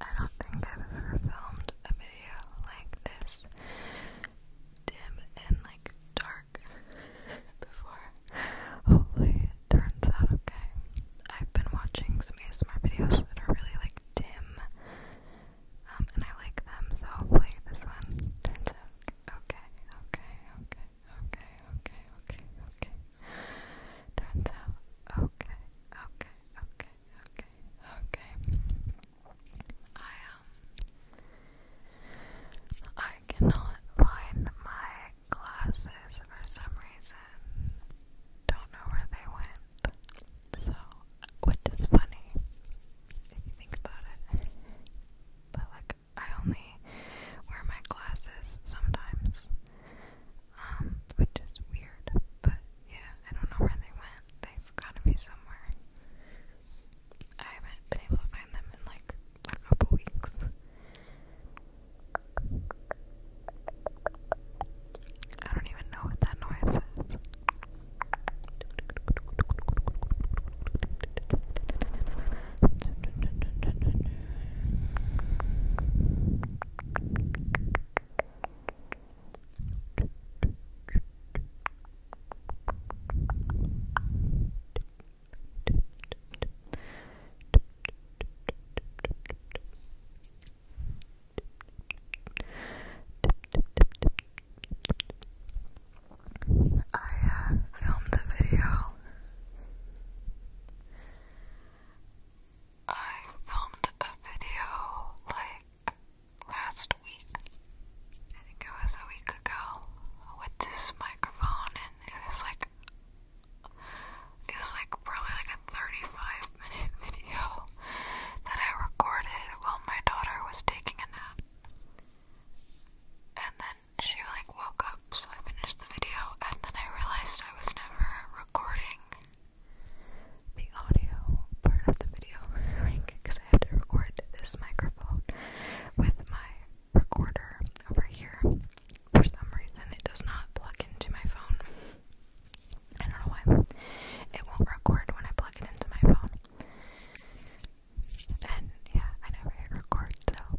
I don't think I've ever filmed a video like this dim and like dark before. Hopefully it turns out okay. I've been watching some of ASMR videos that are really like dim. Um, and I like them, so hopefully this one turns out okay, okay, okay, okay, okay, okay, okay. Turns out, okay, okay, okay, okay, okay. I um, I cannot find my glasses for some reason. Don't know where they went. So, which is funny if you think about it. But like I only wear my glasses sometimes, um, which is weird, but yeah, I don't know where they went. They've gotta be somewhere. I haven't been able to find them in like a couple weeks. I don't even know what that noise is. I uh, filmed a video I filmed a video like last week. I think it was a week ago with this microphone and it was like it was like probably like a 35 minute video that I recorded while my daughter was taking a nap. And then she like woke up, so I finished the video, and then I realized I was never recording the audio part of the video, like, because I had to record this microphone with my recorder over here. For some reason, it does not plug into my phone. I don't know why. It won't record when I plug it into my phone. And yeah, I never record, so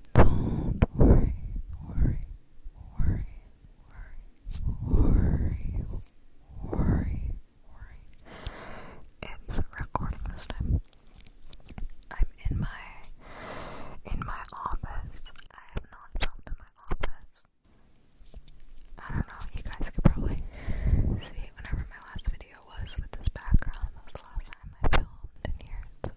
Don't worry, worry, worry, worry, worry, worry, worry. It's recording this time. I'm in my in my office. I have not jumped in my office. I don't know, you guys could probably see whenever my last video was with this background. That the last time I filmed in here.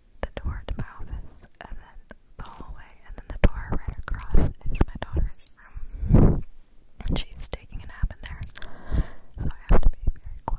the door to my office, and then the hallway, and then the door right across is my daughter's room. And she's taking a nap in there, so I have to be very quiet.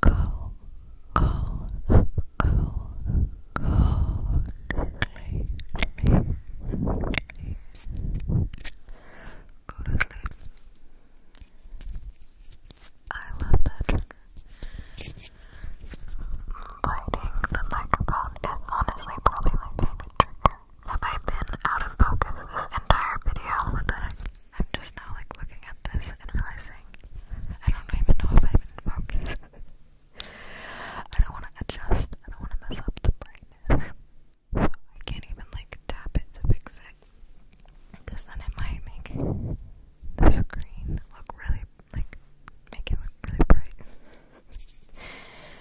go, go, go, go, I love that trigger. Biting the microphone is honestly probably my favorite trigger. Have I been out of focus this entire video? But I'm just now like looking at this and realizing I don't even know if I'm in focus. I don't want to adjust. I don't want to mess up the brightness. I can't even like tap it to fix it. Because then it might make the screen look really like make it look really bright.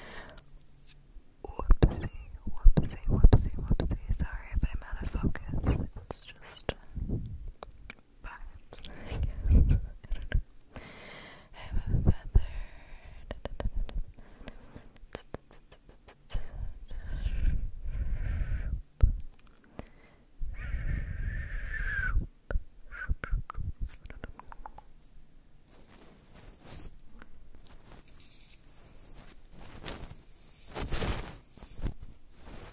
Whoopsie, whoopsie, whoopsie, whoopsie. Sorry if I'm out of focus. It's just vibes, I Have a feather.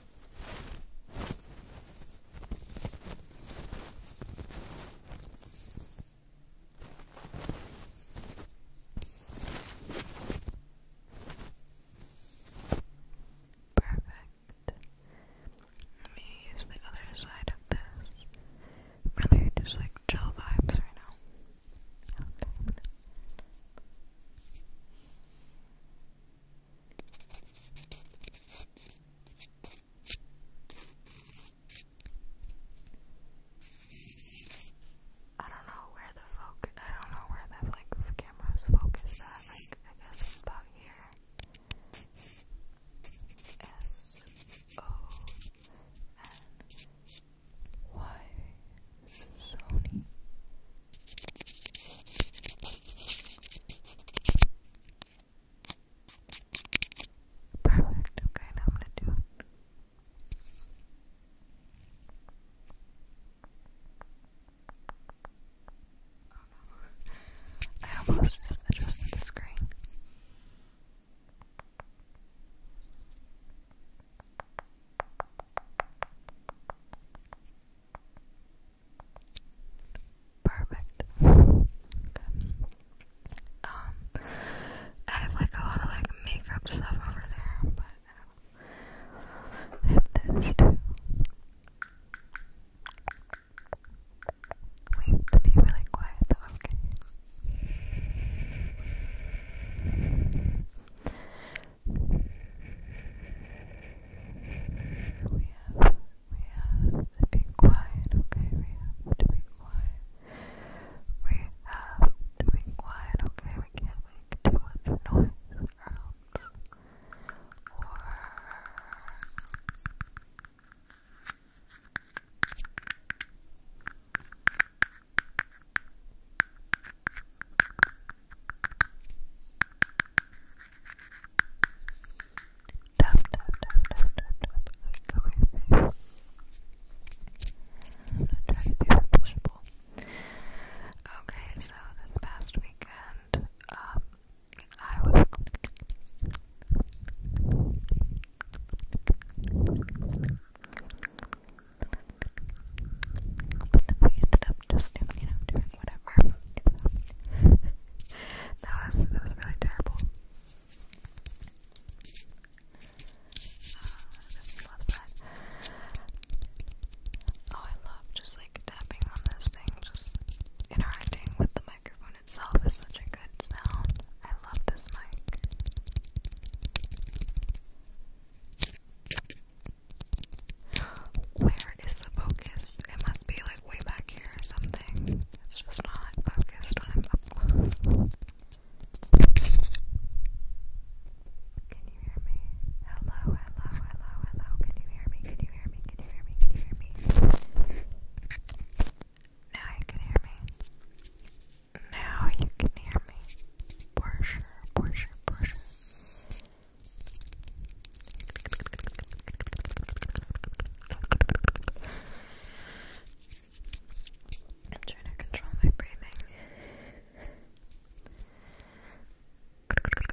Perfect. me use the other side of this. really just like chill vibes right now. I don't know where the focus, I don't know where that camera's focused at, like I guess it's about here. S O N Y Sony. Perfect. Okay, now I'm going to do I almost just adjusted the screen. Perfect. Um, I have like a lot of like makeup stuff over there, but I have this too. We have to be really quiet though, okay? We have, to be quiet, okay? We have to be quiet. We have to be quiet, okay? We can't make too or Tap, tap, tap, tap, tap, Okay, so this past weekend, um, I was. But then we ended up just you know, whatever. that was that was really terrible. Uh, oh, I love just like tapping on this thing, just interacting with the microphone itself is such a good sound. I love this mic. Where where is the focus? It must be like way back here or something. It's just not focused when I'm up close. Can you hear me? Hello, hello, hello, hello. Can you hear me? Can you hear me? Can you hear me? Can you hear me? Now you can hear me. Now you can hear me. For sure, for sure, for sure. I'm trying to control my breathing. Scratch,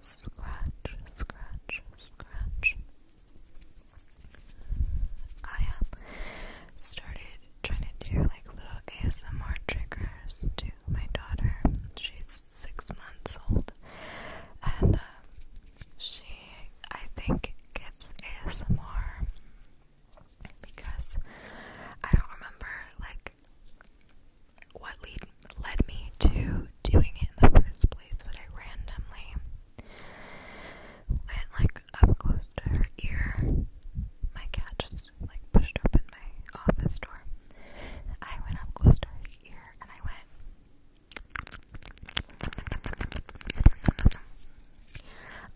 Scratch, scratch, scratch. I oh, have started trying to do like little ASMR triggers to my daughter. She's six months old, and uh, she, I think, gets ASMR because I don't remember like what lead led me to doing it in the first place, but I randomly went like up close to her ear. My cat just like pushed open my office door. I went up close to her ear and I went.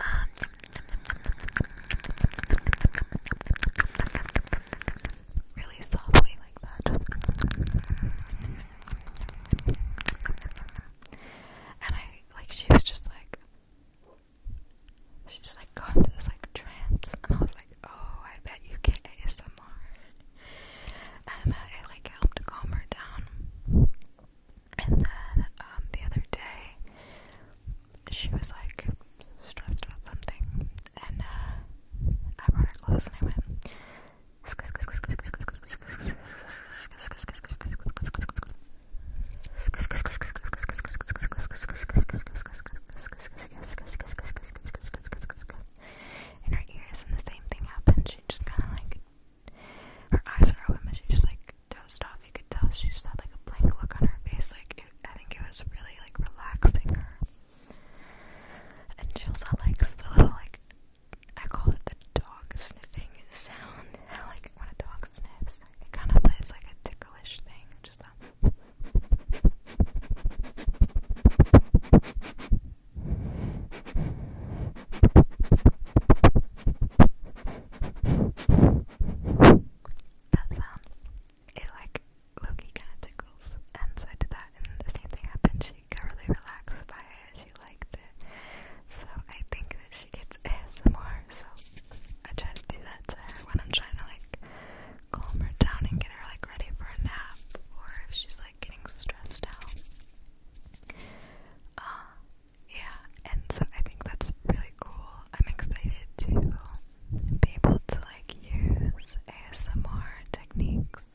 Um, really softly like that. and I like she was just like she just like got into this like trance and I was like, Oh, I bet you get ASMR and uh, it like helped calm her down. And then um, the other day she was like stressed about something and uh, I brought her clothes and I went. In her ears, and the same thing happened. She just kind of like her eyes were open, but she just like dozed off. You could tell she just had like a blank look on her face. Like it, I think it was really like relaxing her. And she likes the little, like, I call it the dog sniffing sound. I like when a dog sniffs, it kind of plays like a ticklish thing, just that. That sound it like Loki kind of tickles, and so I did that, and the same thing happened. She got really relaxed by it. She liked it, so I think that she gets ASMR. So I try to do that to her when I'm trying to like calm her down and get her like ready for a nap, or if she's like getting stressed out. Uh, yeah, and so I think that's really cool. I'm excited to be able to like use ASMR to techniques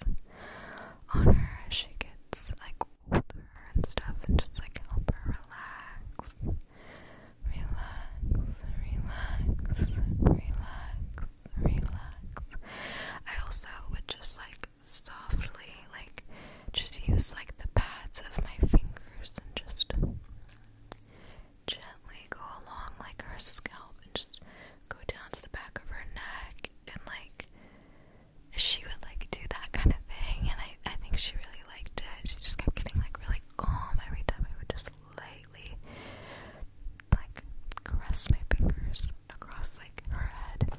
on her as she gets like older and stuff and just like help her relax. Relax, relax, relax, relax. I also would just like softly like just use like the pads of my fingers and just gently go along like her scalp and just go down to the back of her neck and like she would like do that kind of thing and I, I think she really liked it. She just kept getting like really calm every time I would just lightly like caress my fingers across like her head.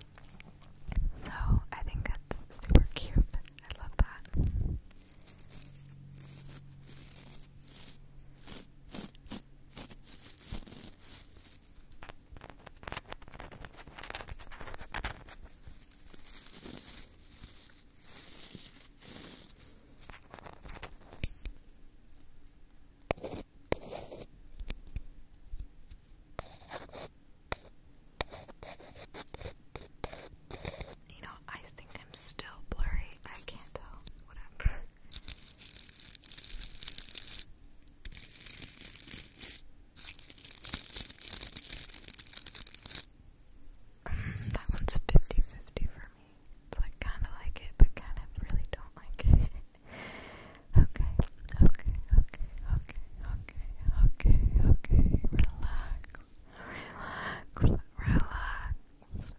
So I think that's super cute. I love that. You know, I think I'm still blurry. I can't tell. Whatever that one's 50 for me. It's like kind of like it, but kind of really don't like it. okay, okay, okay, okay, okay, okay, okay. Relax, relax, relax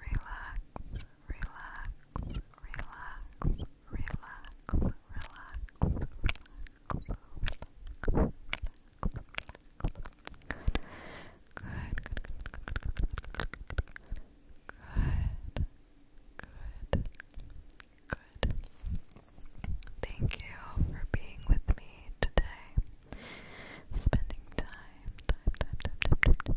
relax, relax, relax, relax, relax, good, good, good, good, good, Thank you for being with me today. Spending time, time, time, time, time, time,